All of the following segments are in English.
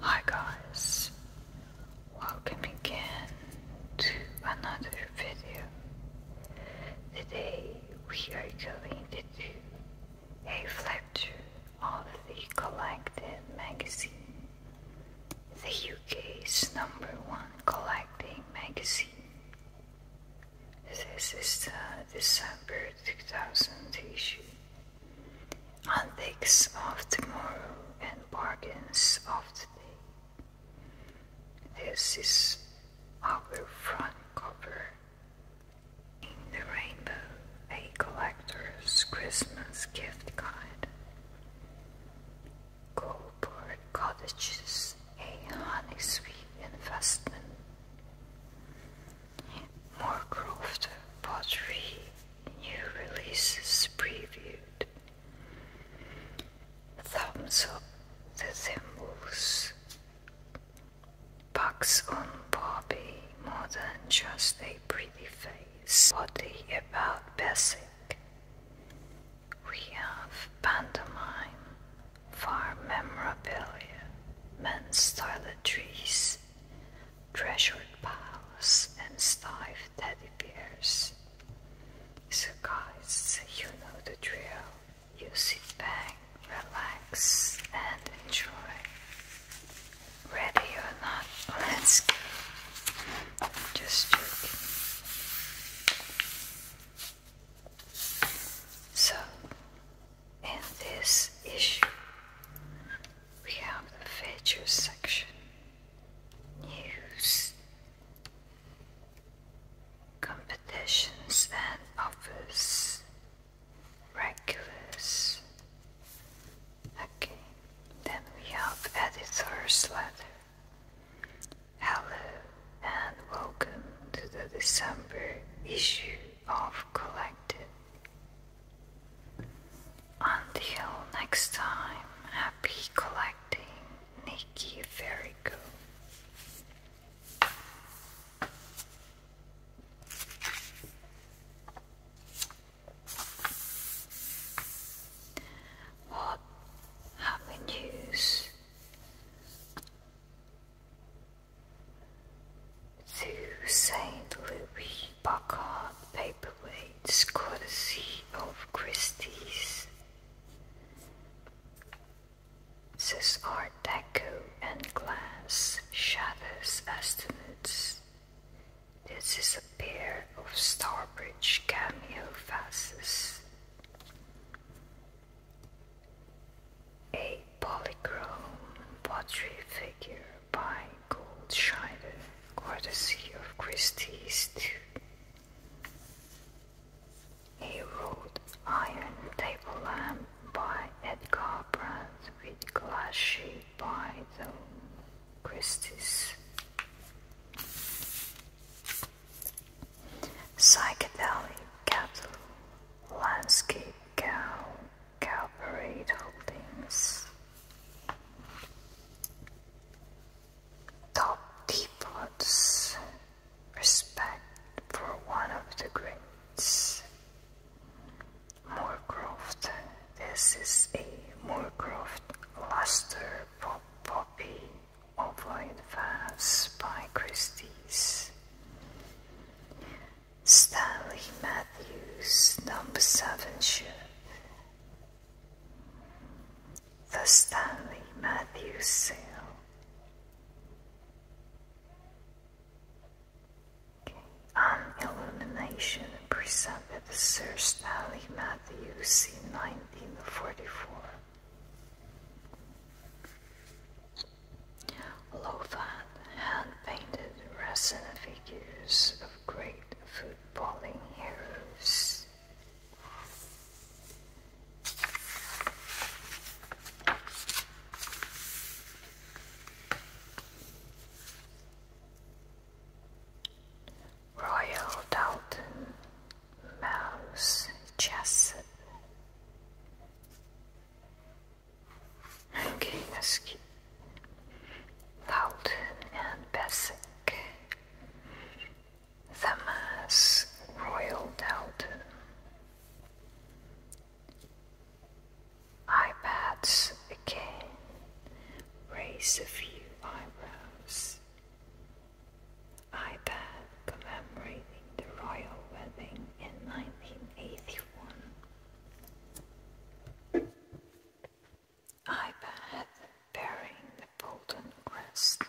Hi guys, welcome again to another video. Today we are going to do a flip of the collected magazine, the UK's number one collecting magazine. This is the uh, December 2000 issue and thinks of tomorrow and bargains of today. This is our front cover in the Rainbow, a collector's Christmas gift card. Goldboard cottages, a honey sweet investment. Moorcroft Pottery New Releases Previewed Thumbs Up the Thimbles Bugs on Bobby More Than Just a Pretty Face Body About Basic We have Pantomime Farm Memorabilia Men's Toiletries treasured palace and stiff teddy bears. So, guys, you know the drill. You sit back, relax, and enjoy. Ready or not, let's go. Just joking. So, in this issue, we have the features section, news, competitions and offers, regulars. Okay, then we have editor's letter. Hello and welcome to the December issue of Collective. Until next time, happy collecting, Nikki Verigo. What happy to Saint Louis? Buckhorn paperweights courtesy of Christie's. This Art Deco and glass shatters estimates. This is a pair of Starbridge cameo vases. A polychrome pottery figure by Goldscheider, courtesy of Christie East. He Iron Table Lamp by Edgar Brandt with glass sheet by the Christie's. Psychedelic Cattle Landscape Cow Corporate Holdings Top Teapots Respect for one of the greats Moorcroft This is a Moorcroft Luster Pop Poppy Ovoid Vase by Christie's Stanley Matthews, number seven shift. The Stanley Matthews sale. Okay. presented the Sir Stanley Matthews in 1944. Low hand painted resin figures of great great footballing heroes. Royal Dalton, Mouse Jessup. Okay, let's loud and basic. The mass roiled out. Ipads again raise a few eyebrows. iPad commemorating the royal wedding in 1981 iPad bearing the golden crest.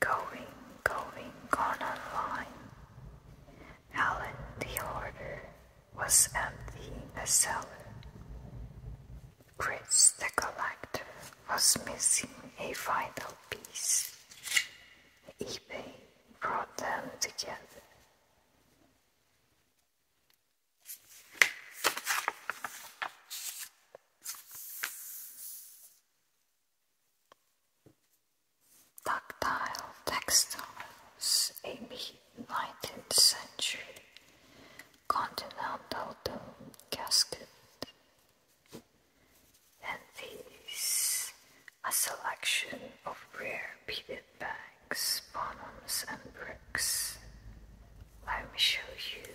Going, going, gone online. Helen the hoarder was emptying the cellar. Chris the collector was missing a final piece. eBay brought them together. Tactile textiles, a 19th century continental dome casket, and these a selection of rare beaded bags, bottoms, and bricks. Let me show you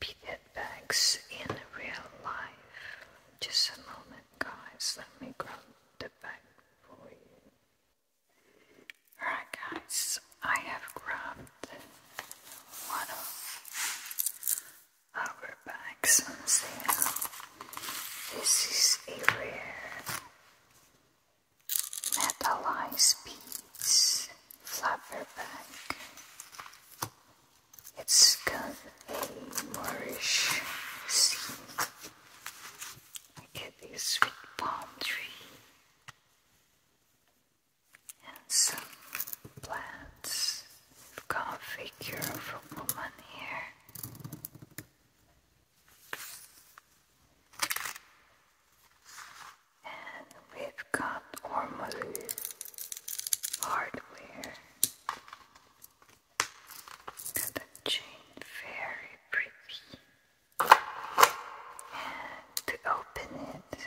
beaded bags in real life. Just a moment, guys. Let me grab the bag for you. Alright, guys, I have grabbed one of our bags on sale. This is a rare metalized beads flapper bag. It's got a Moorish scene. It is with palm tree and some plants We've got a figure of a woman here. And we've got Ormolu hardware. Got a chain, very pretty. And to open it,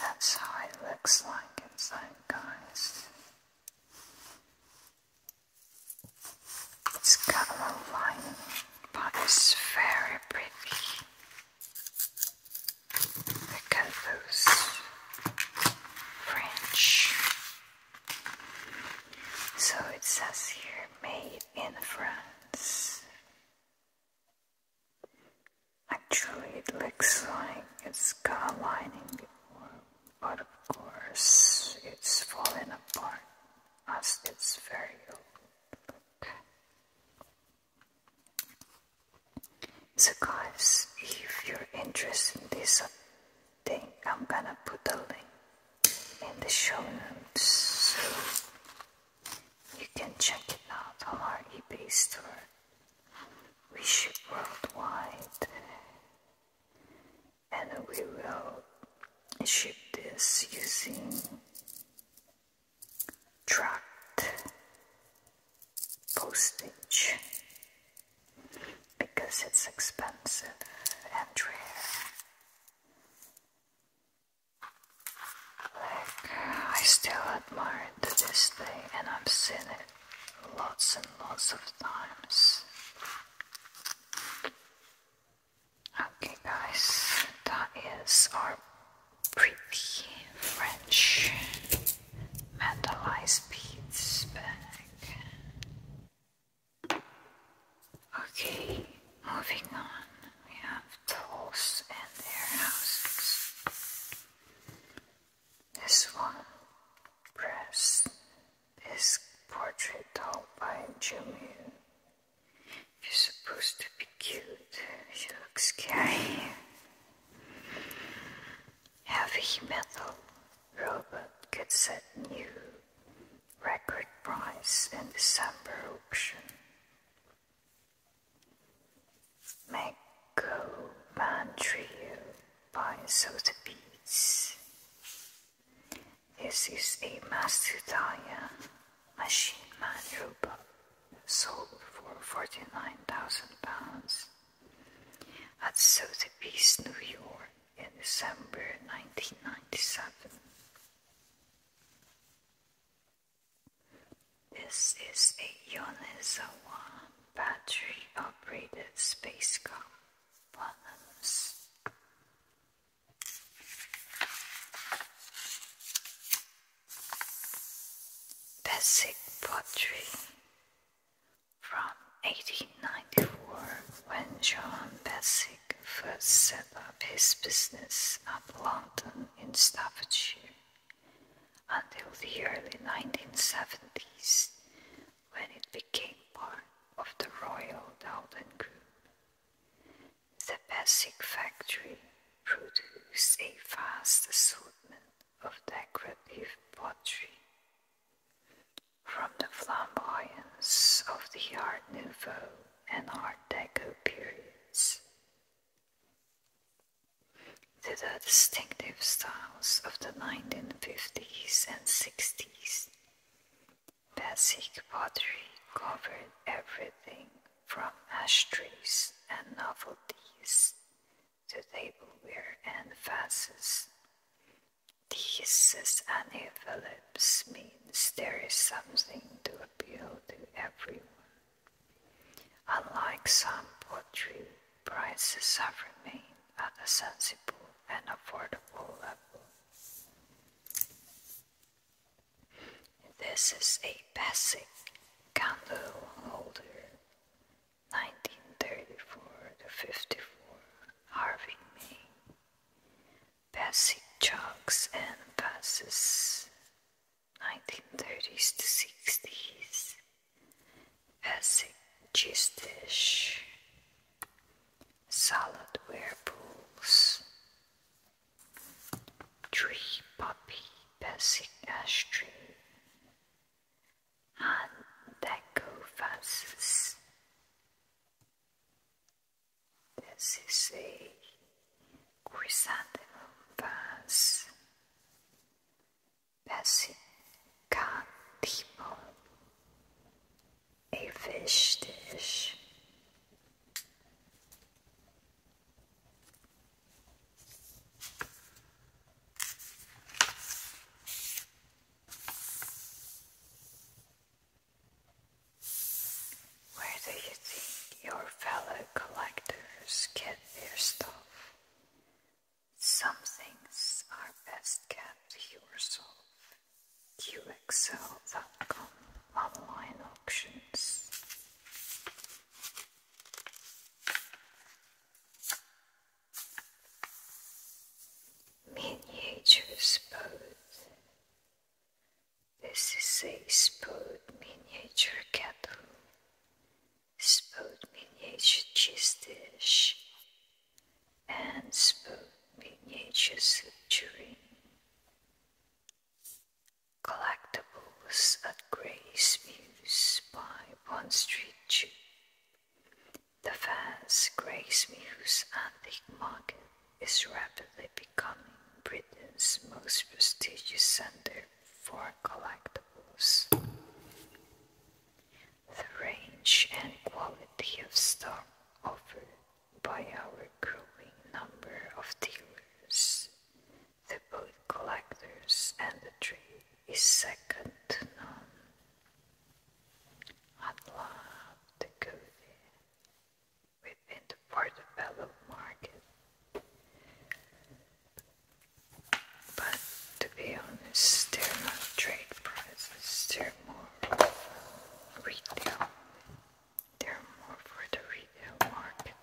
that's how it looks like inside, guys. It's got a little lining, but it's very pretty. Look at those French. So it says here, made in France. Actually, it looks like it's but of course, it's falling apart as it's very old. So, guys, if you're interested in this I'm gonna put the link in the show notes so you can check it out on our eBay store. We ship worldwide and we will ship this using tracked postage because it's expensive and rare like, I still admire it to this day, and I've seen it lots and lots of times. Okay, guys, that is our pretty French metalized beads bag. Okay, moving on. We have dolls and their houses. This one, press. This portrait doll by You're supposed to be cute. She looks scary. Heavy metal robot gets set new record price in December auction. Mego Trio by Soda This is a Mastodaya Machine Man robot sold for £49,000 at Sotheby's, New York in December 1997. This is a Yonezawa battery-operated spacecraft. Balance. Basic pottery from 1894 when John Basic first set up his business at London in Staffordshire until the early 1970s when it became part of the Royal Doulton Group. The Bessic factory produced a vast assortment of decorative pottery. From the flamboyance of the Art Nouveau and Art Deco periods to the distinctive styles of the 1950s and 60s, Basic pottery covered everything from ashtrays and novelties to tableware and vases, this is an Anaphylips means there is something to appeal to everyone. Unlike some poetry, prices have remained at a sensible and affordable level. This is a basic candle holder, 1934 to 54, Harvey May passing jogs and buses, 1930s to 60s, passing cheese dish, salad ware pools, tree puppy passing ashtray, and deco vases. This is a chrysanthemum vase. Pesicantipo. A fish dish. Where do you think your fellow collectors get their stuff? Some things are best kept yourself. QXL.com online auctions. Miniatures both this is a spoon miniature kettle, spoon miniature cheese dish, and spoon miniature soup tureen. Collectibles at Grace Muse by Bond Street Tube. The fans Grace Muse Antique Market is rapidly becoming Britain's most prestigious center for collectibles. The range and quality of stock offered by our growing number of dealers, the both collectors and the trade, is second to none. I'd love to within the portobello market. But to be honest, they're not trade prices, they're more retail. They're more for the retail market.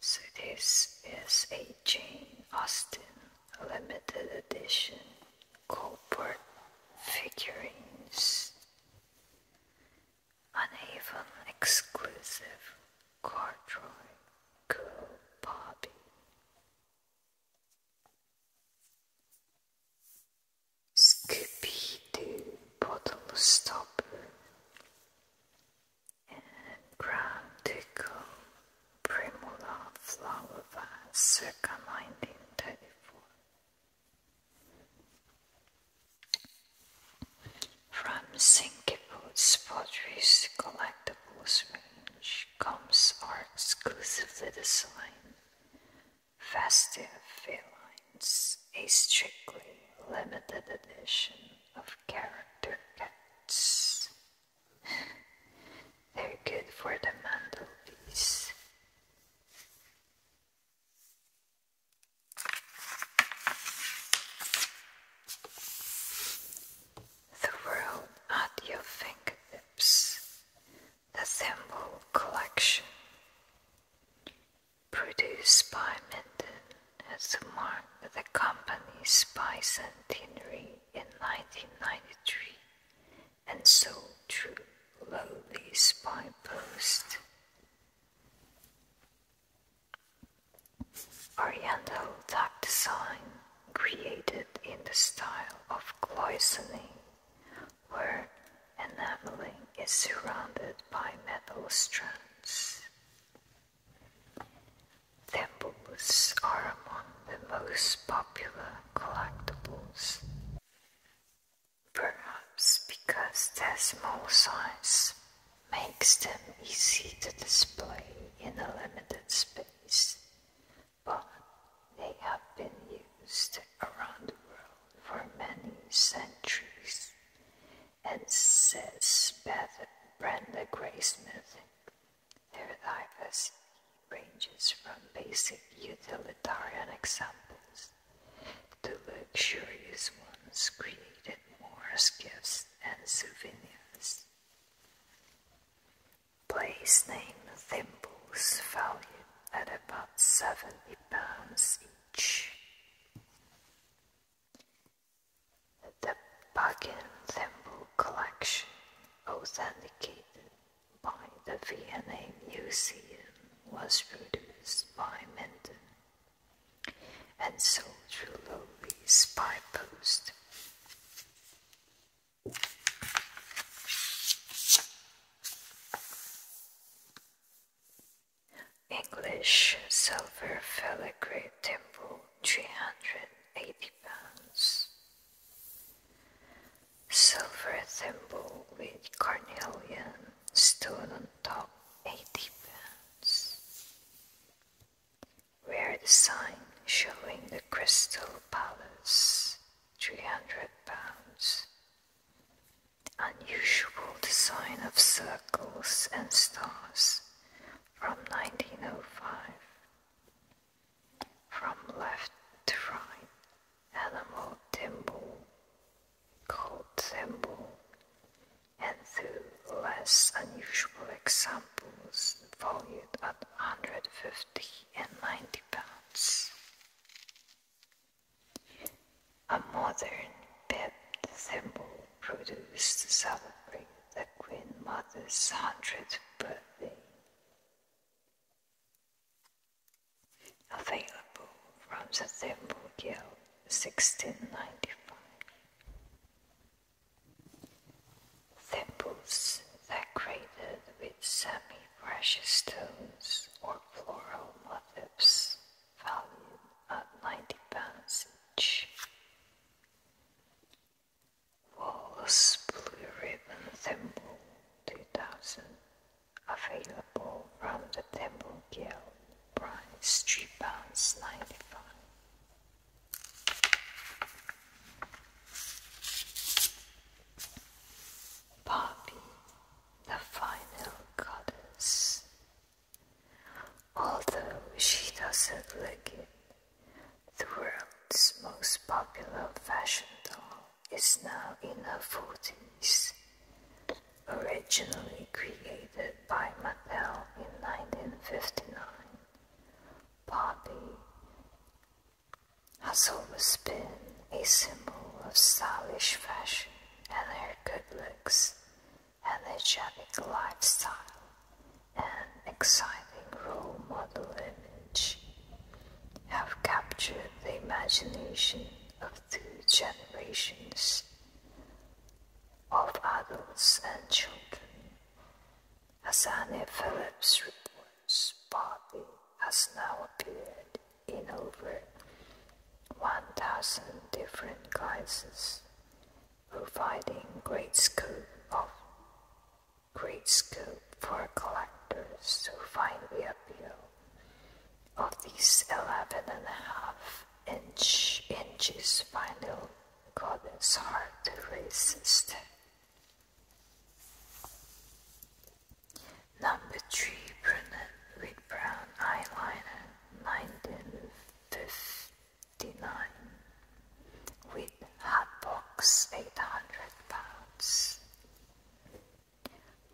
So this is a Jane Austen limited edition copper figurines, an even exclusive corduroy cool bobby. Scooby Doo bottle stopper and brown Primula flower vase circa 1934. From Sinkipu's Pottery's collectibles range comes are exclusively designed Festive Felines, a strictly limited edition of character cats. They're good for the mantelpiece. The world at your fingertips. The symbol collection. Produced by Minden as a mark of the company's bicentenary in 1993 and so true lowly spy post. Oriental duck design created in the style of cloisonne, where enameling is surrounded by metal strands. Temples are among the most popular collectibles. Perhaps because their small size makes them easy to display in a limited space, but they have been used around the world for many centuries, and says Brenda Gray Smith their diversity ranges from basic utilitarian examples to luxurious ones created more as gifts and souvenirs. Place name thimbles valued at about 70 pounds each. The Buckingham Thimble Collection authenticated by the Vienna Museum was produced by Menden and sold to Loewy's by post. English silver filigree temple, 380 pounds. Silver thimble with carnelian stone on top, 80 pounds. Rare design showing the crystal palace, 300 pounds. Unusual design of circles and stars from 1905. From left to right, animal thimble, called thimble, and two less unusual examples valued at 150 and 90 pounds. A modern pet symbol produced to celebrate the Queen Mother's 100th birthday available from the Temple Guild 1695. Temples decorated with semi-precious stones or floral motifs valued at 90 pounds each. Wallace Blue Ribbon Thimble 2000 available from the Thimble Guild price £3.95 Poppy, the final goddess. Although she doesn't look it, the world's most popular fashion doll is now in her 40s. Originally created by Mattel in 1959, Barbie has always been a symbol of stylish fashion and her good looks, energetic lifestyle, and exciting role model image have captured the imagination of two generations of adults and children. As Annie Phillips reports, Bobby has now appeared in over 1,000 different guises, providing great scope of great scope for collectors to find the appeal of these eleven and a half inch inches vinyl goddess hard to resist. Number 3 Brunette with Brown Eyeliner 1959 with box 800 pounds.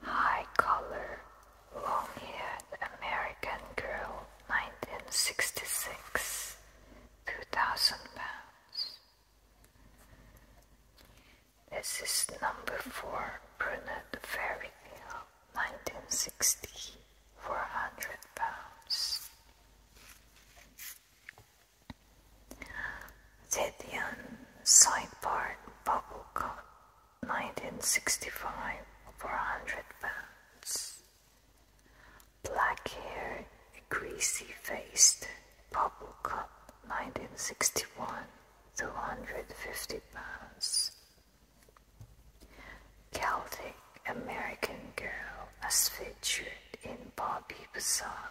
High-collar, long hair, American girl, 1966, 2,000 pounds. This is number four, brunette fairy tale, 1960, 400 pounds side part sideboard bubblecoat 1965 over 100 pounds. Black hair, greasy faced bubblecoat 1961 250 pounds. Celtic American girl as featured in Bobby Bazaar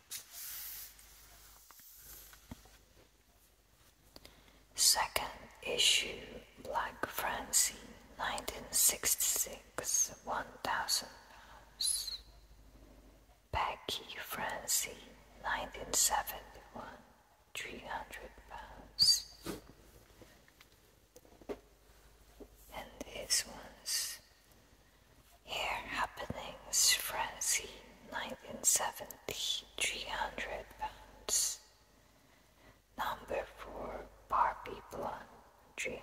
Second issue Black Francie 1966 1000 pounds. Becky Francie 1971 300 pounds and this one's here happenings, Francine, 1970, 300 pounds. Number 4, Barbie Blonde, 300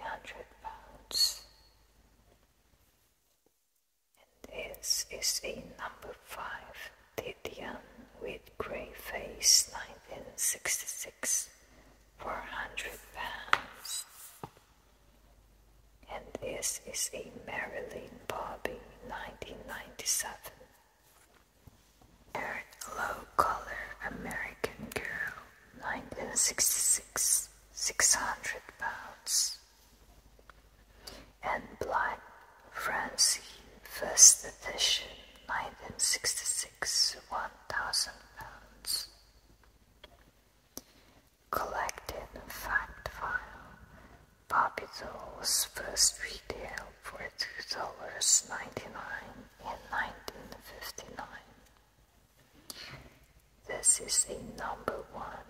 pounds. And this is a number 5, Titian with grey face, 1966, 400 pounds. And this is a Marilyn Bobby 1997. Eric Low Color American Girl 1966, 600 pounds. And Black Francie First Edition 1966, 1000 pounds collected fact file. Bobby Dole's first retail for $2.99 in 1959. This is a number one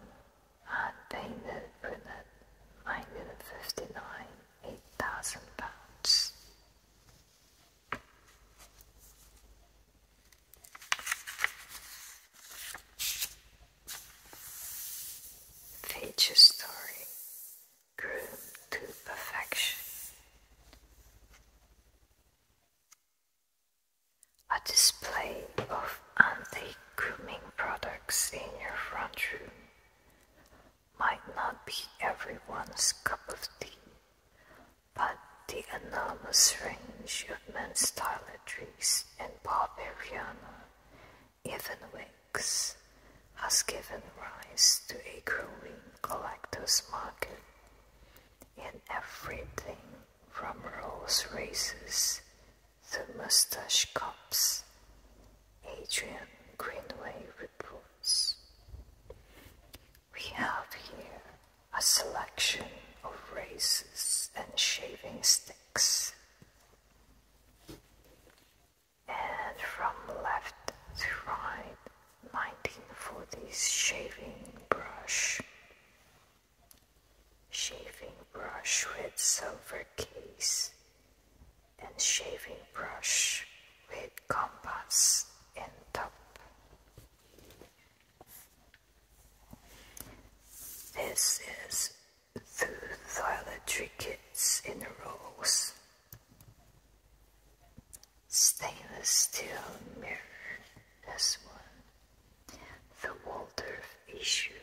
unpainted brunette, nine hundred fifty 8,000 pounds. Feature story groomed to perfection. A display of anti grooming products in your front room might not be everyone's cup of tea, but the enormous range of men's toiletries. Bellatrix and Barbariana, even Wix, has given rise to a growing collector's market in everything from Rolls Races to mustache cups, Adrian Greenway reports. We have here a selection of razors and shaving sticks and from left to right, 1940s shaving brush. Shaving brush with silver case and shaving brush with compass and top. This is the trinkets in a rose. Stainless steel mirror, this one. The Waldorf issue.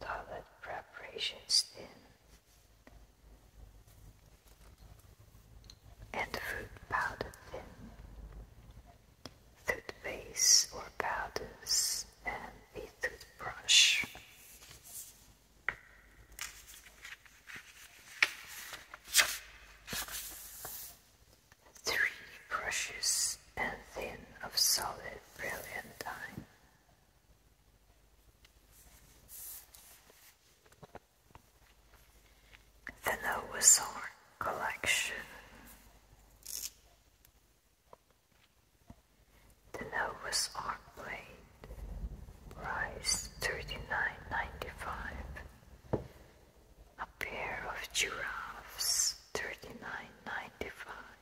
Toilet preparation tin. And fruit powder thin toothpaste or powders, and a toothbrush. Three brushes and thin of solid brilliantine. The Noah's Ark Collection. The lowest arc blade price thirty-nine ninety-five. A pair of giraffes thirty-nine ninety-five.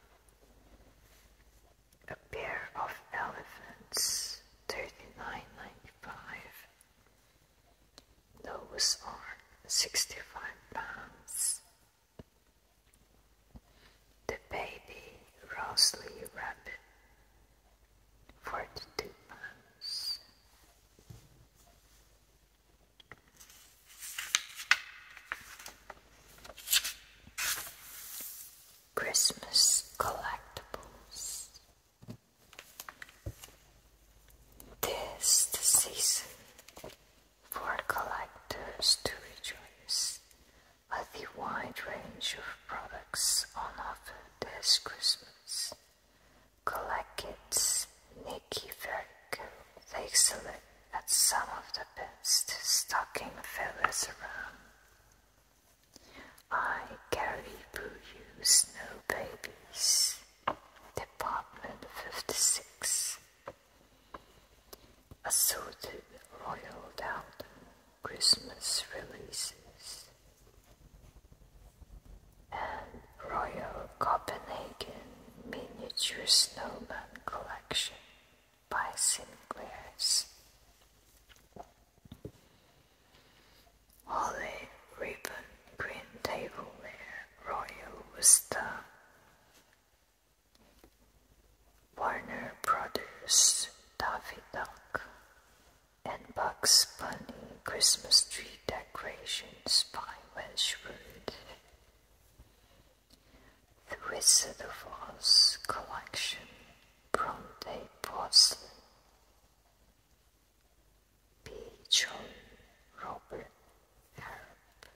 A pair of elephants thirty-nine ninety-five. Lowest arc sixty-five pounds. The baby Rosalie Rabbit, forty-two pounds. Christmas collectibles. This the season for collectors to rejoice a wide range of products on offer this Christmas. Collect Kids, Nikki Vertigo, a look at some of the best stocking fillers around. I carry You Snow Babies, Department 56. Assorted Royal rolled Christmas releases and Royal Copenhagen Miniature Snowman Collection by Sinclair's. Holly ribbon green tableware royal with Warner Brothers' Daffy Duck and Bugs Bunny Christmas tree decorations by Wedgwood. The Wizard of Oz collection, from Porcelain. B. John Robert Harrop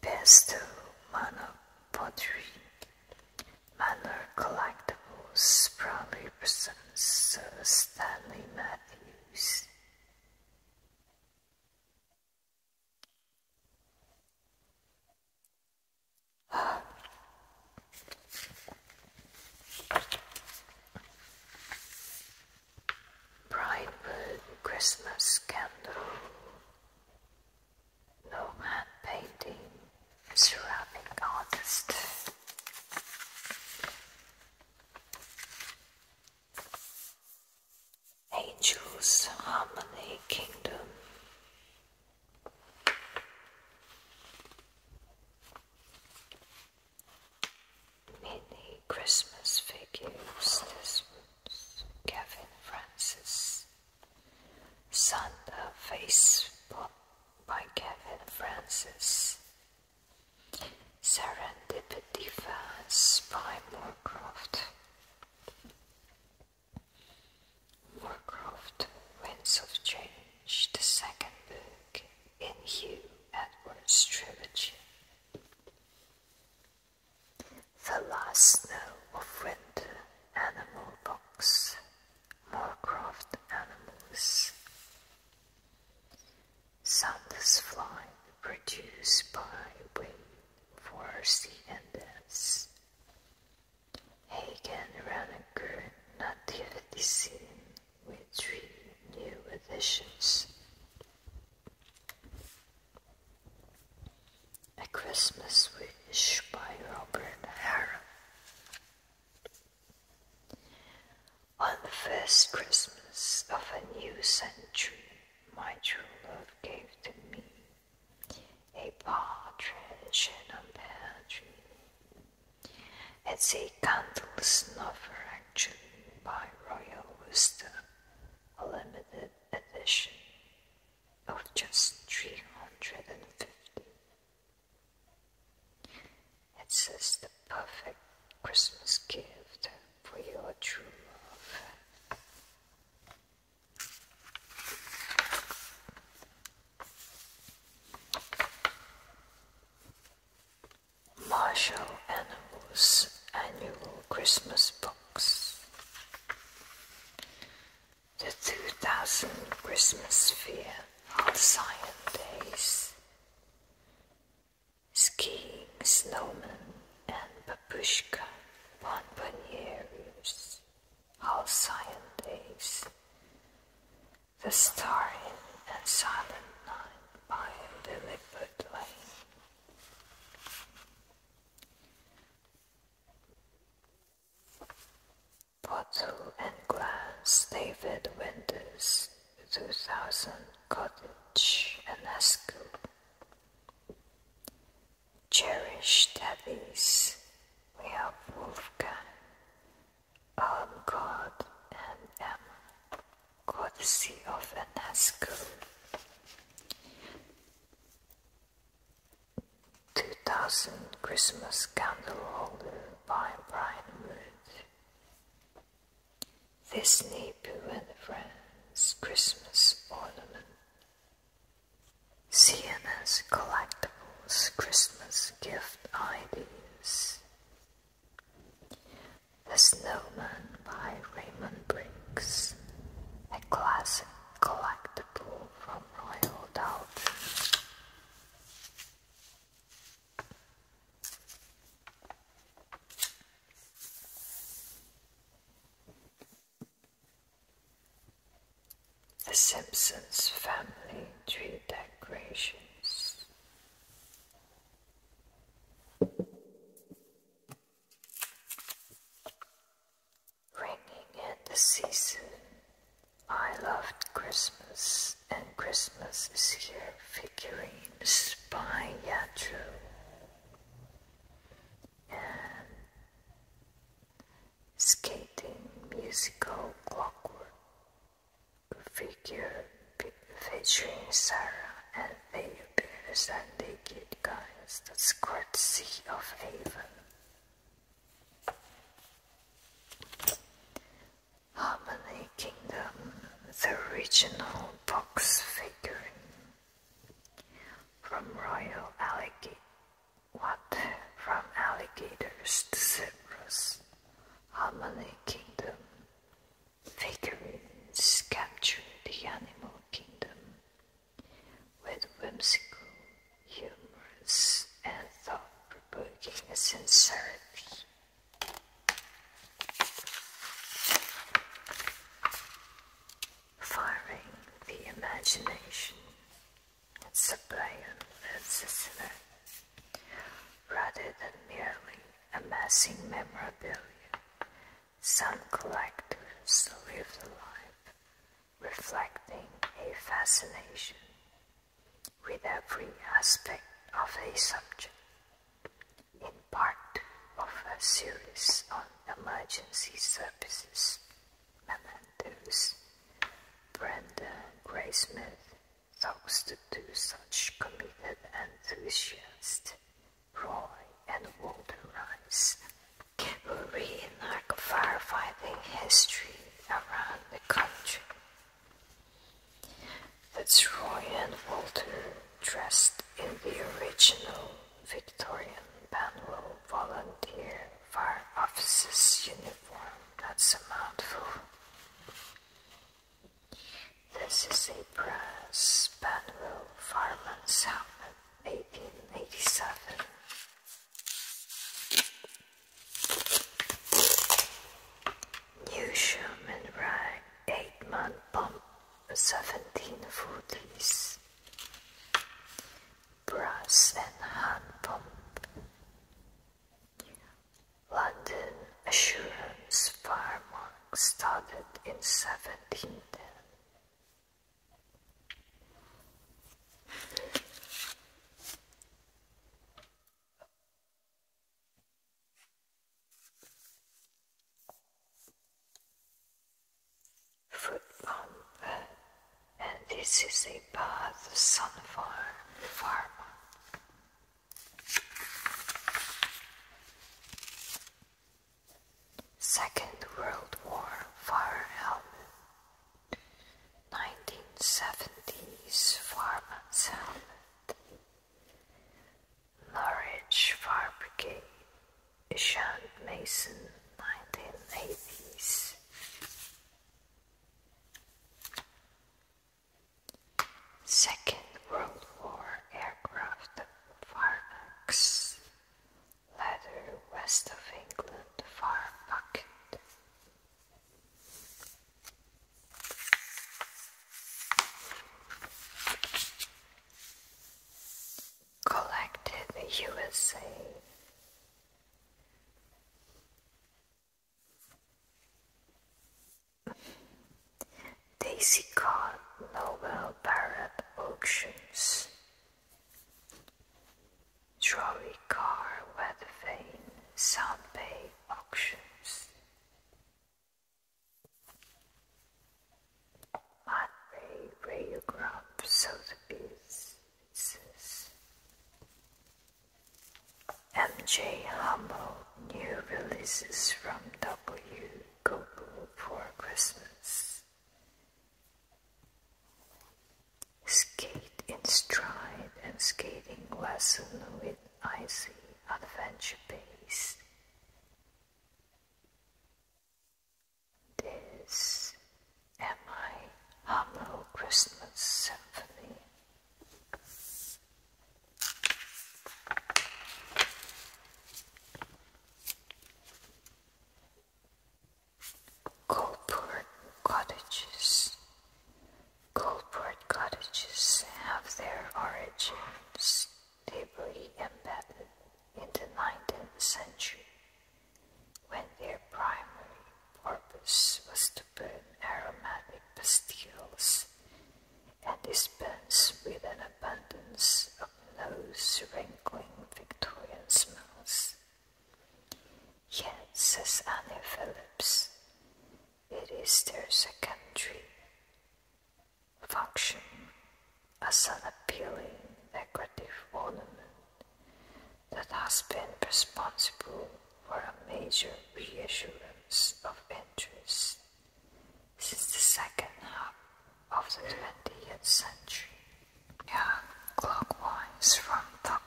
Pastel manor pottery. Manor collectibles proudly presents Sir Stanley Matthews. Bridewood Christmas candle, Nomad painting, ceramic artist. Angels Harmony Kingdom. Mini Christmas figures. This one's Kevin Francis. Santa Face by Kevin Francis. Serendipity Fans by Moorcroft. Moorcroft, Winds of Change, the second book in Hugh Edwards' trilogy. The Last Snow of Winter Animal Box, Moorcroft Animals. Sanders Fly, produced by Wayne Forsey and Hagen Reneker Nativity Scene with three new editions. A Christmas Wish by Robert Harron. On the first Christmas of a new century, my true love gave to me a partridge in a pear tree. It's a candle snuffer, action by Royal Wooster, a limited edition of just 350. It's just the perfect Christmas gift for your true love. Marshall Animals Annual Christmas Box. The 2000 Christmas Fair Science Days. Skiing, snowmen, and babushka All Science Days. The Starry and Silent Night by Lilliput Lane. Bottle and Glass, David Winters, 2000 Cottage and Haskell. Cherish Daddies, we have Wolfgang, um, God and M, Sea of UNESCO. 2000 Christmas Candle Holder by Brian Wood. This Nepu and Friends Christmas Ornament. CNS Collectibles Christmas Gift Ideas the Snowman by Raymond Briggs, a classic collectible from Royal Dutch. The Simpsons Family Tree Decorations Ringing in the season. I loved Christmas, and Christmas is here. Figurines by Yatro. And skating musical clockwork figure featuring Sarah and they appear as naked guys the skirt sea of haven. Harmony Kingdom, the original box figure from Royal Alligator. What? From alligators to zebras. Harmony Kingdom. Figurines capture the animal kingdom with whimsical, humorous, and thought provoking sincerity. Firing the imagination and supplying rather than merely amassing memorabilia. Some collectors live the life, reflecting a fascination with every aspect of a subject. In part of a series on emergency services mementos, Brenda Graysmith those two such committed enthusiasts, Roy and Walter Rice. Cavalry and narco firefighting history around the country. That's Roy and Walter, dressed in the original Victorian Benwell volunteer fire officer's uniform. That's a mouthful. This is a brass Spanwell Fireman's Helmet, 1887. New Sherman Rag, 8-man pump, 17 footies. Brass and hand pump. London Assurance Farm started in 1710. Foot pump, and this is a bath sun farm. Second World War fire helmet, 1970s fireman's helmet, Norwich Fire Brigade, Ishant Mason, 1980s. Second World War aircraft Farnax later west of England far pocket. Collected USA Daisy Car Nobel Barrett Auctions Trolley Car Weathervane Sound Bay Auctions Monterey Radiograph Sotheby's MJ Hummel new releases from W. Goble for Christmas. Skate in stride and skating lesson with icy adventure pace. This Am I Hummel Christmas Symphony Goldport cottages. Goldport cottages have their origins deeply embedded in the 19th century when their primary purpose was to burn aromatic pastilles and dispense with an abundance of nose-wrinkling Victorian smells. Yet, says Annie Phillips, it is their secondary function as an appealing decorative ornament that has been responsible for a major reassurance of interest since the second half of the 20th century, yeah, clockwise from top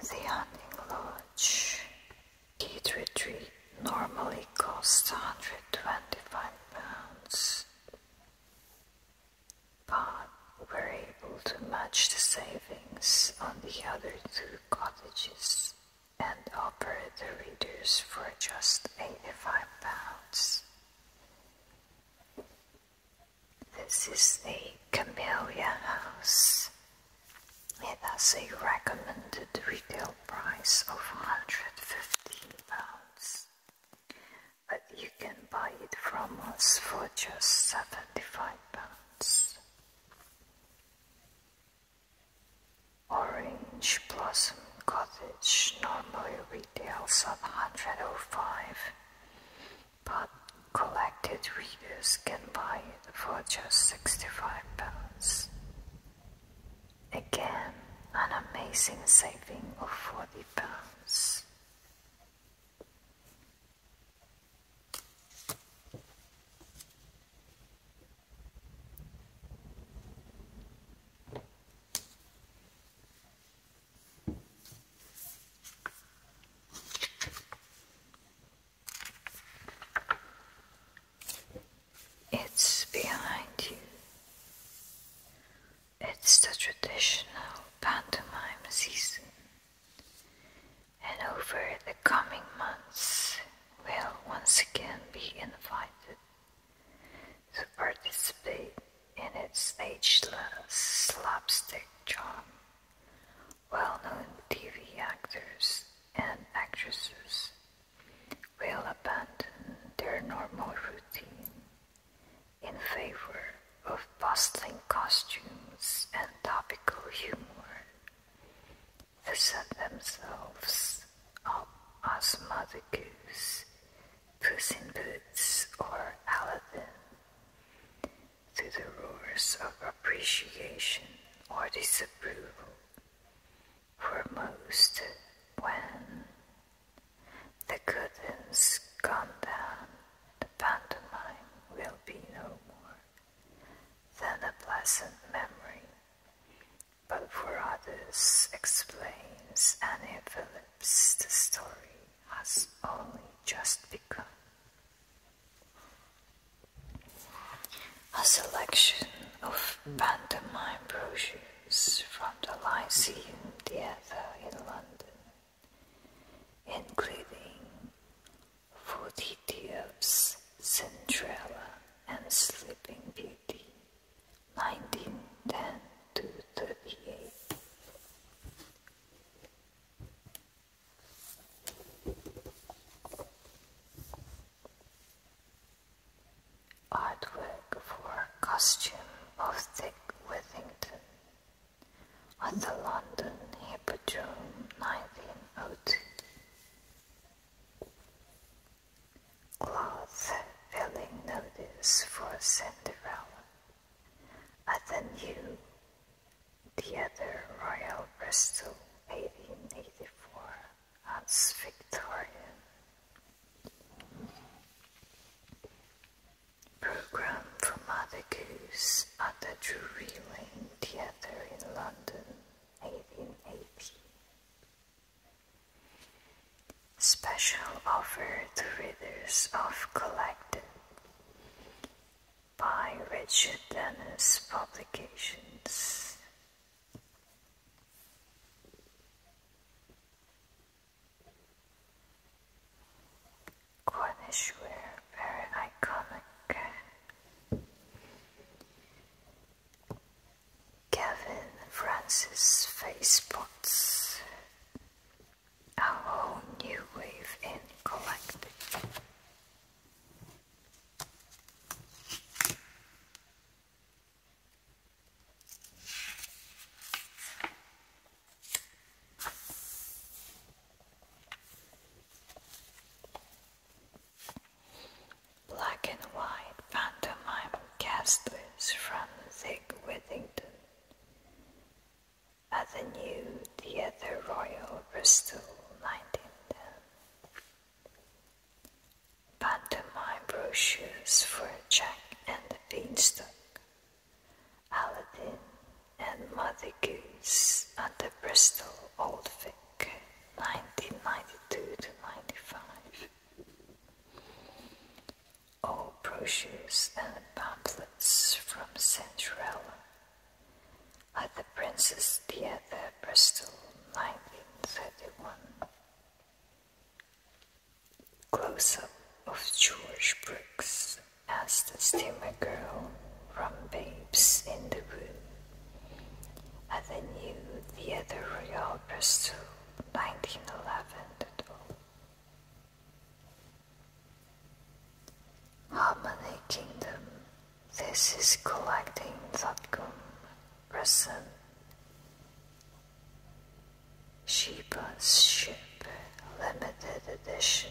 the hunting lodge kid retreat normally costs 125 pounds, but we're able to match the savings on the other two cottages and offer the readers for just £85. This is the Camellia House. It has a recommended retail price of £115, but you can buy it from us for just £75. Orange Blossom Cottage normally retail at 105 but collected readers can buy it for just 65 pounds. Again, an amazing saving of 40 pounds. It's behind you. It's the traditional pantomime season and over the coming months will once again be invited to participate in its ageless slapstick charm. Well-known TV actors and actresses will abandon their normal routine in favor of bustling costumes and topical humor. They set themselves up as Mother Goose, Puss in Boots, or Aladdin. Through the roars of appreciation or disapproval, for most, when the good curtains come down, the pantomime will be no more. Then a pleasant memory, but for others explains and envelops the story has only just begun. A selection of pantomime brochures from the Lyceum Theatre in London, including Forty Tubes, Cinderella, and Sleeping Beauty, 1910 to 38. Artwork for costume of Dick Withington at the London Hippodrome 1902. Cloth filling notice for Cinderella. Athenu, the other royal Bristol, 1884, as Victorian. Program for Mother Goose at the Drury Lane Theatre in London 1880. Special offer to readers of Collected by Richard Dennis Publications. Cornishware, very iconic Kevin Francis Facebots a whole new wave in collecting. Black and white pantomime casters from Zig Whittington at the new Theatre Royal, Bristol, 1910. Pantomime brochures for Jack and Beanstalk, Aladdin, and Mother Goose at the Bristol Old Vic. 1992 to 95. All brochures and pamphlets from Cinderella at the Princess Theatre, Bristol, 1931. Close-up of George Brooks as the steamer girl from Babes in the Wood. Avenue via the other Royal Pursuit, 1911 to 12. Harmony Kingdom. This is collecting Zotgum Rasan. Sheba's Ship Limited Edition.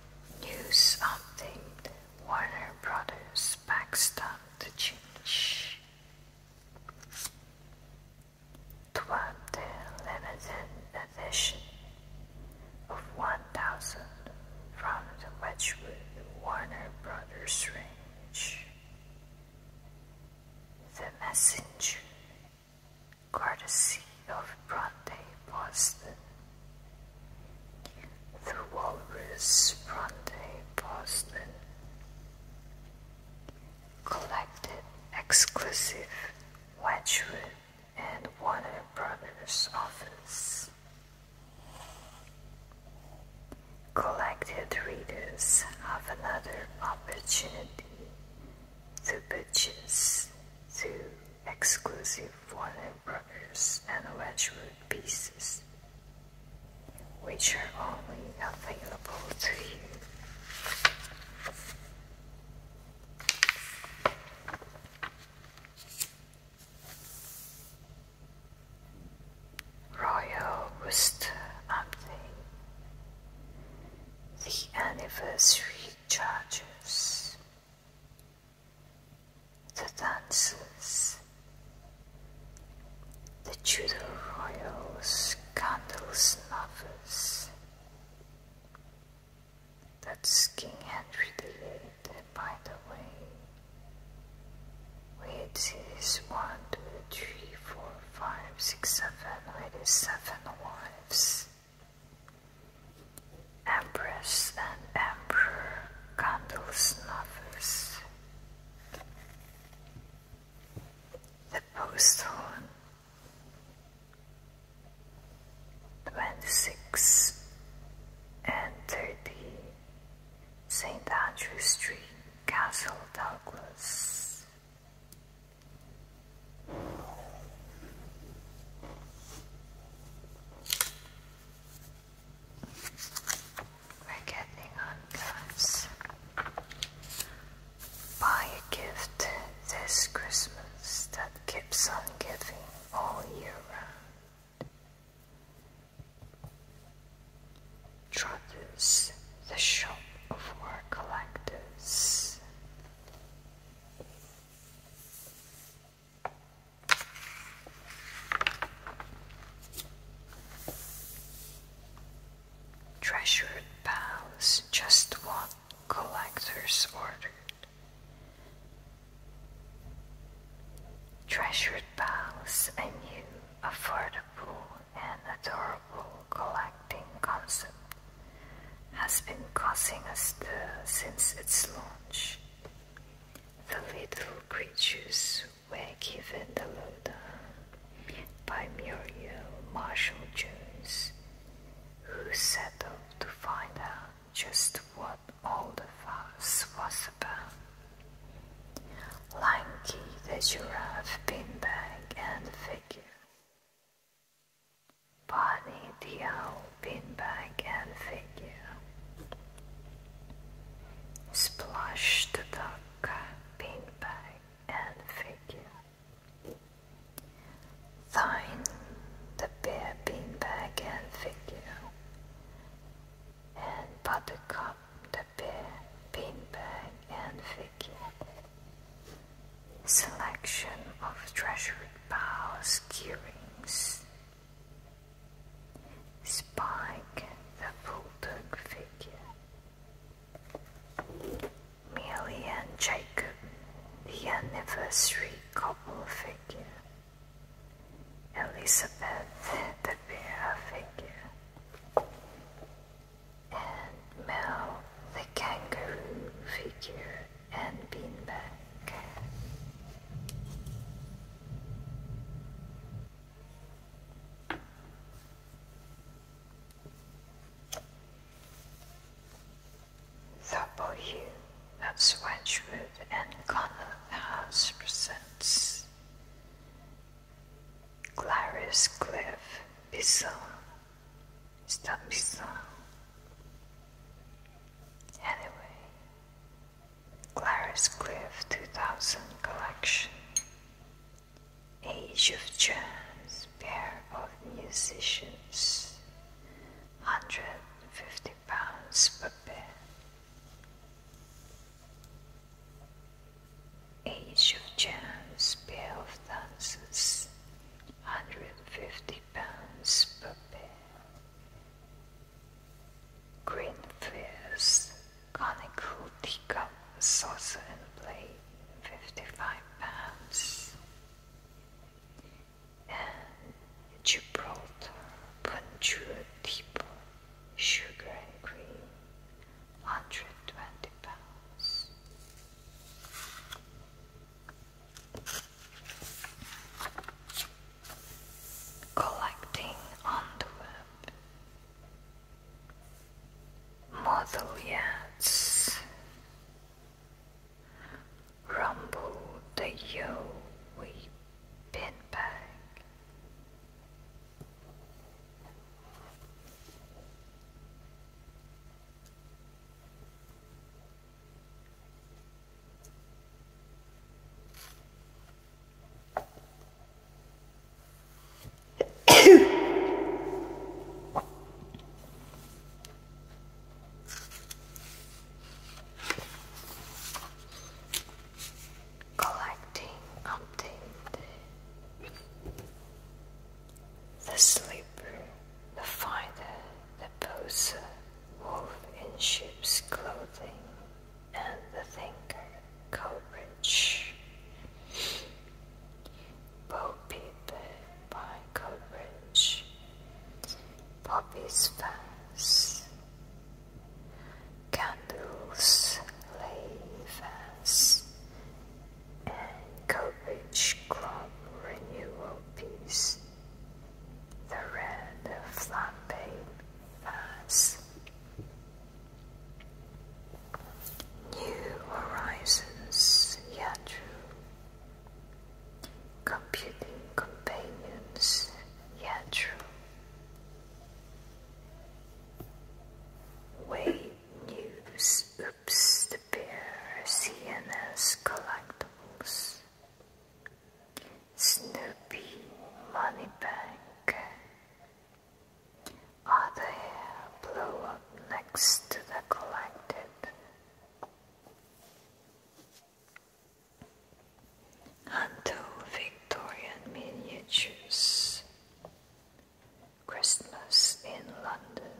knew something Warner Brothers backstopped to change. Toward limited edition of 1000 from the Wedgwood Warner Brothers range. The Messenger courtesy of Bronte Boston. The Walrus Bronte Boston collected exclusive Wedgwood and Warner Brothers office. Collected readers have another opportunity to purchase two exclusive fallen brothers and Wedgwood pieces, which are only available to you. Royal Rooster Update The Anniversary Charges the dancers, the Tudor royals, candles, snuffers that's King Henry the Eighth, by the way. Wait, is one, two, three, four, five, six, seven, wait, is seven wives. Empress and Emperor candle snuffers. The postal twenty six and thirty St. Andrew Street, Castle Douglas. We're getting on, guys. Buy a gift this Christmas that keeps on giving all year round. Trotters, the shop of collectors. Treasured pals, just what collectors ordered. Treasured pals, a new, affordable, and adorable collecting concept has been causing us stir since its launch. The little creatures were given the lowdown by Muriel Marshall Jones, who set settled to find out just what all the fuss was about. Lanky the giraffe beanbag and figure Bunny Bonnie Diao pinback and figure. Splash the duck pinback and figure. Thine the bear pinback and figure. And buttercup the cup, the bear pinback and figure selection of treasured palace keyrings. Spike the bulldog figure. Millie and Jacob, the anniversary couple figure. Elizabeth, the bear figure. And Mel, the kangaroo figure and beanbag. Thabohu and Connell House presents Clarice Cliff Bison, Stubbison, Anyway, Clarice Cliff 2000 collection Age of Chance, pair of musicians, 150 pounds per pair. Age of Chance, pair of dancers, 150 pounds per pair. Green fish, conical teacup, saucer and plate, 55 pounds. And Gibraltar, Punjul Depot, sugar and cream, 120 pounds collecting envelope, model yachts, rumble the yo we pinbag, Collecting update the sleeper, the finder, the poser, wolf in sheep's clothing, and the thinker, Coleridge. Bo Peep by Coleridge. Poppy's Fence. Candles lay fast, and Coleridge Club renewal piece the red of flapping birds. New horizons, yeah, true. Computing companions, yeah, true. Way News, Oops, the Bear, CNN's Collectibles, Snoopy Moneybank. Other hair up next to the collected. Until Victorian miniatures. Christmas in London.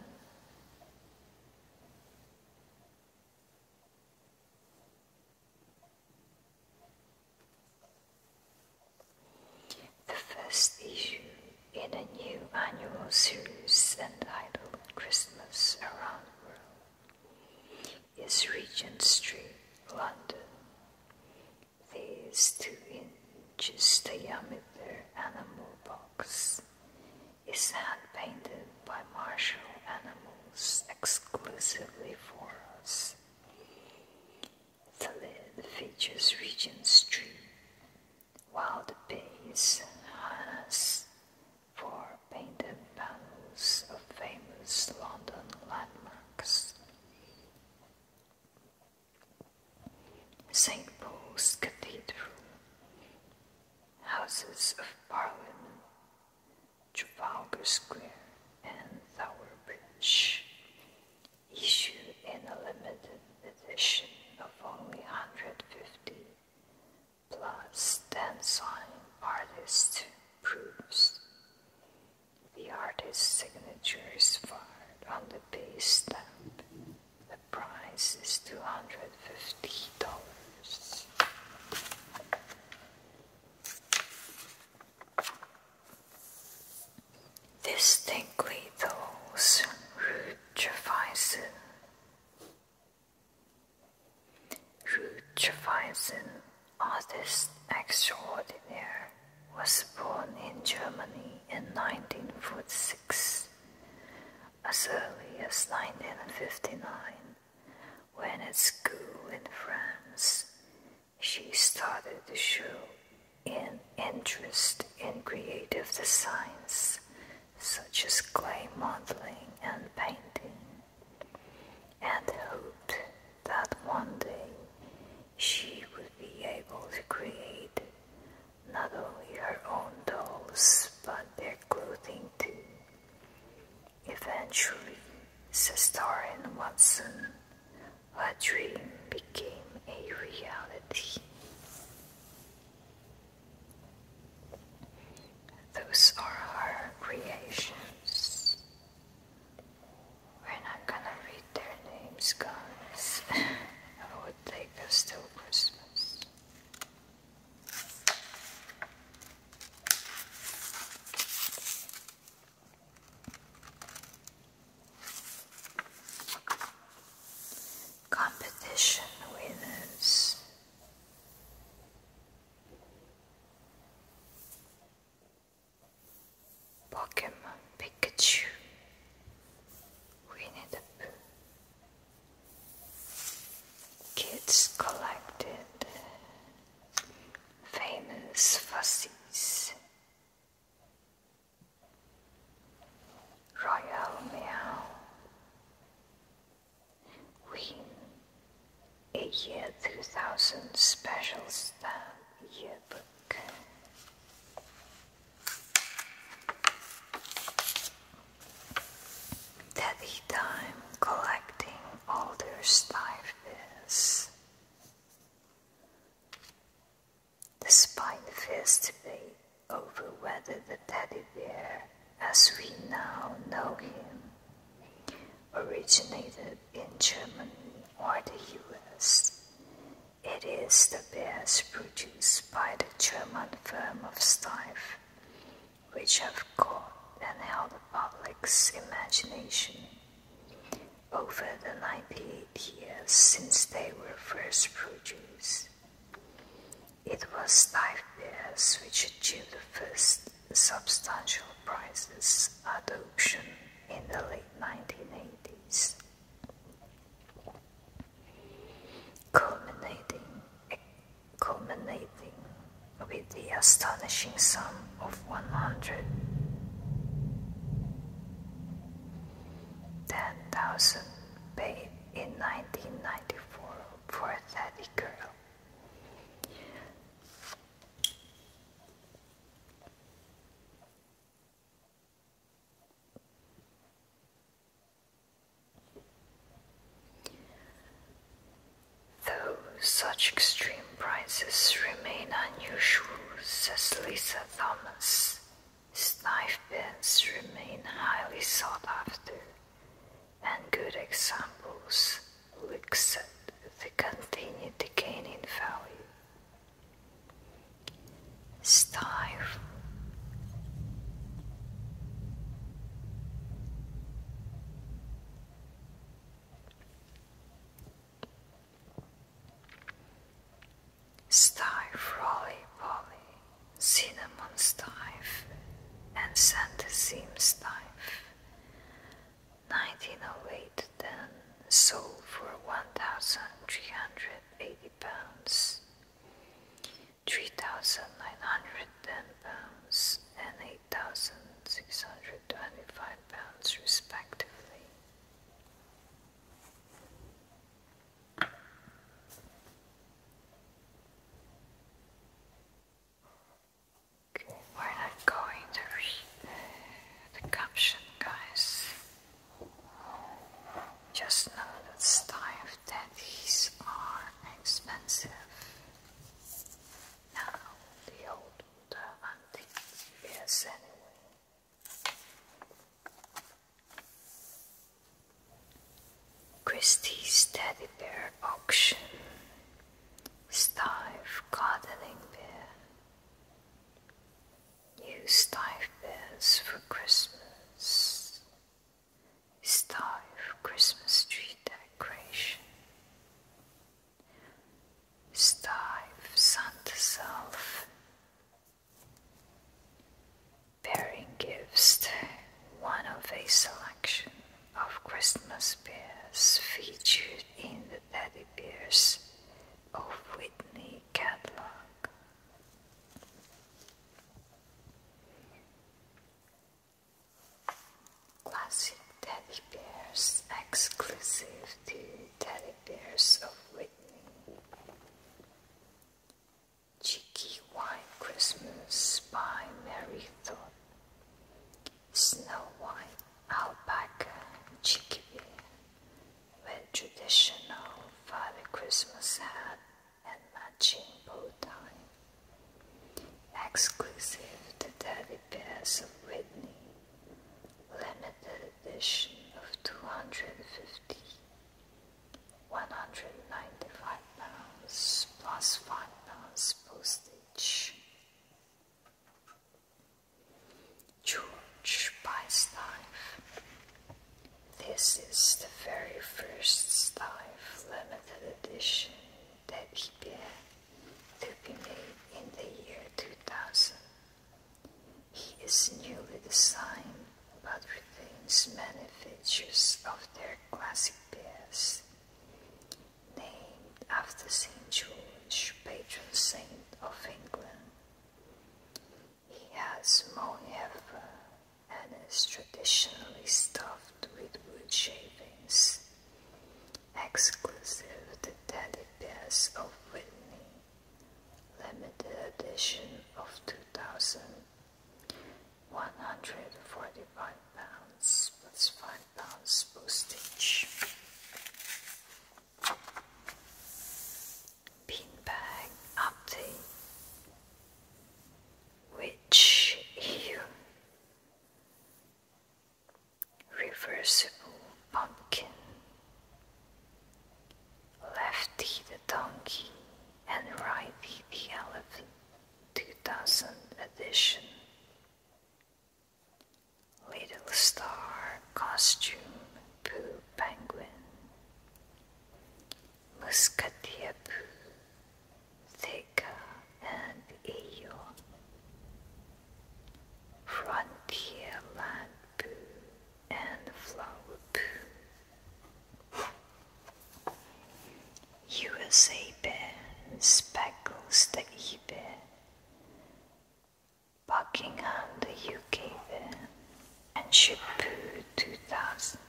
The first issue in a new annual series entitled Christmas Around the World is Regent Street, London. These two inches diameter animal box is hand painted by Marshall Animals exclusively for us. The lid features Regent's tree, while the base has four painted panels of famous London landmarks. St. Paul's Cathedral Houses of Parliament, Trafalgar Square, and Tower Bridge. Issue in a limited edition of only 150, plus 10 signed artist proofs. The artist's signature is fired on the base stamp the price is two hundred fifty dollars. Distinctly those Rutschweisen. Rutschweisen, artist extraordinaire, was born in Germany in 1946 as early as 1959, when at school in France she started to show an interest in creative designs such as clay modeling and painting, and hoped that one day she would be able to create not only her own dolls but their clothing too. Eventually, Sestarian Watson, a dream became a reality. Those are her creations. We're not gonna read their names, guys. I would take us till Christmas. Competition winners. Pokemon Pikachu, Winnie the Pooh, Kids collected famous fossies, Royal Meow, Win, a year 2000 special stamp yearbook. Teddy time collecting all older spiderfish. The spiderfish debate over whether the teddy bear, as we now know him, originated in Germany or the US. It is the bears produced by the German firm of Steiff which have caught and held the public's imagination over the 98 years since they were first produced. It was Steiff beers which achieved the first substantial prices adoption in the late 1980s, culminating culminating with the astonishing sum of 100. 10,000 paid in 1994 for a daddy girl. Though such extreme prices remain unusual, says Lisa Thomas, knife pens remain highly sought after, and good examples, Luke said, they continue to gain in value. Snipe Stiff roly poly, cinnamon Stiff, and Santa seam stive. 1908 then sold for 1,380 pounds. 3,910 pounds and 8,625 pounds, respectively. we're not going to read the caption, guys. Just know that style of daddies are expensive. Now the old order antique is anyway. Christie's teddy bear auction. Stife gardening bear. Use stife bears for Christmas. Stove Christmas tree decoration. Stove Santa self. Bearing gifts, one of a selection of Christmas bears featured in the Teddy Bears of Whitney catalog. Classic teddy bears exclusive to teddy bears of Whitney. Chicky White Christmas by Mary Thorpe. Snow White, Alpaca, Chicky. When traditional Father Christmas had and matching bow tie, exclusive to Teddy Bears of Whitney, limited edition of 250, 195 pounds plus 5 pounds postage. George buys knife. This is the very first knife the edition that he bears, to be made in the year 2000. He is newly designed but retains many features of their classic bears. Named after St. George, patron saint of England, he has small heifer, and is traditionally stuffed with wood shavings, exclusive to teddy bears of Whitney, limited edition of two thousand one hundred forty-five 145 pounds plus 5 pounds postage. Beanbag update which you reversible pumpkin Lefty the donkey and Righty the elephant 2000 edition Little Star Costume Pooh Penguin Muscatiebu, thika and Eyo, Frontier Land Boo, and Flower Boo, USA Bear, Speckles the E-Bear, Buckingham the UK and Shibu 2000.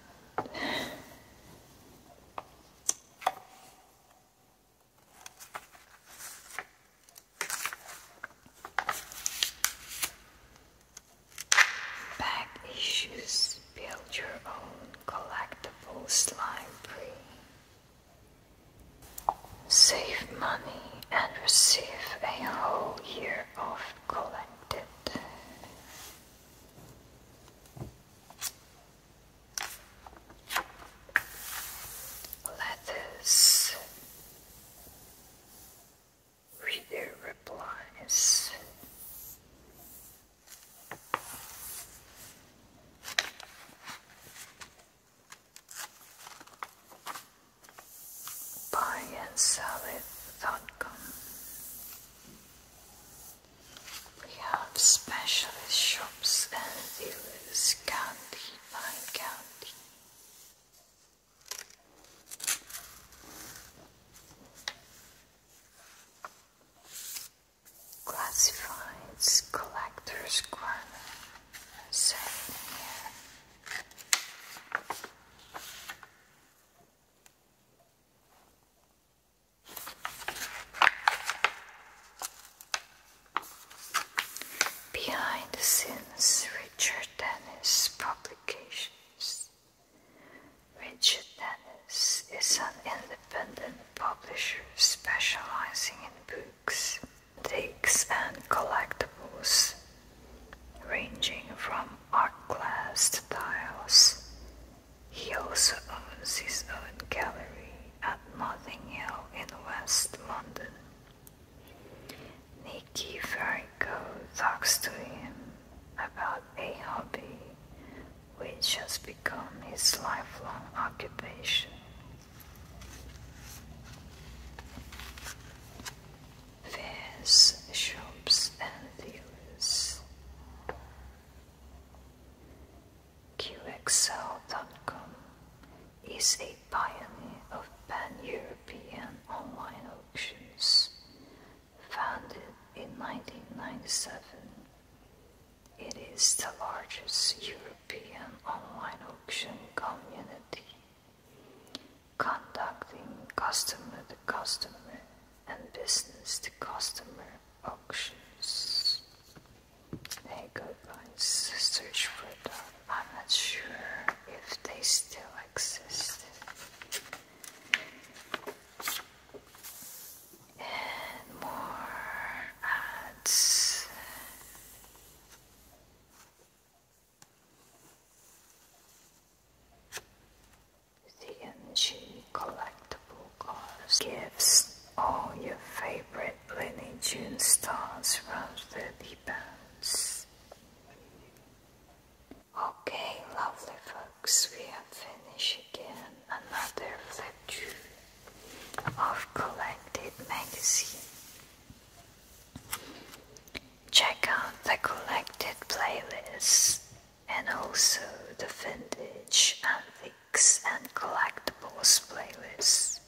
Bag issues build your own collectibles library. Save money and receive a whole year of collected. Letters. Reader replies. Buy and sell it, com. We have specialist shops and dealers county by county. Classifieds, collector's coins. Behind the scenes, Richard Dennis Publications. Richard Dennis is an independent publisher specializing in books, antiques, and collectibles, ranging from art glass to tiles, he also owns his own gallery at Notting Hill in West London. Nikki Ferrico talks to him about a hobby which has become his lifelong occupation. Fairs, shops, and dealers. QXL.com is a pioneer of pan-European online auctions, founded in 1997. It is the largest European online auction community, conducting customer to customer and business to customer auctions. They search for I'm not sure if they still exist. And more ads. The NG collectible cards gives all your favorite Looney Tune stars from the deep ends. Okay, lovely folks, we have finished again another flip through of Collected Magazine. Check out the Collected playlist and also the vintage and antiques and collectibles playlist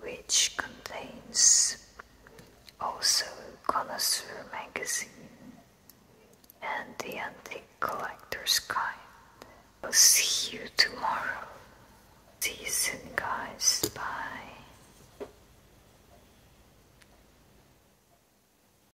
which contains also connoisseur magazine and the antique collector's guide i'll see you tomorrow see you soon guys bye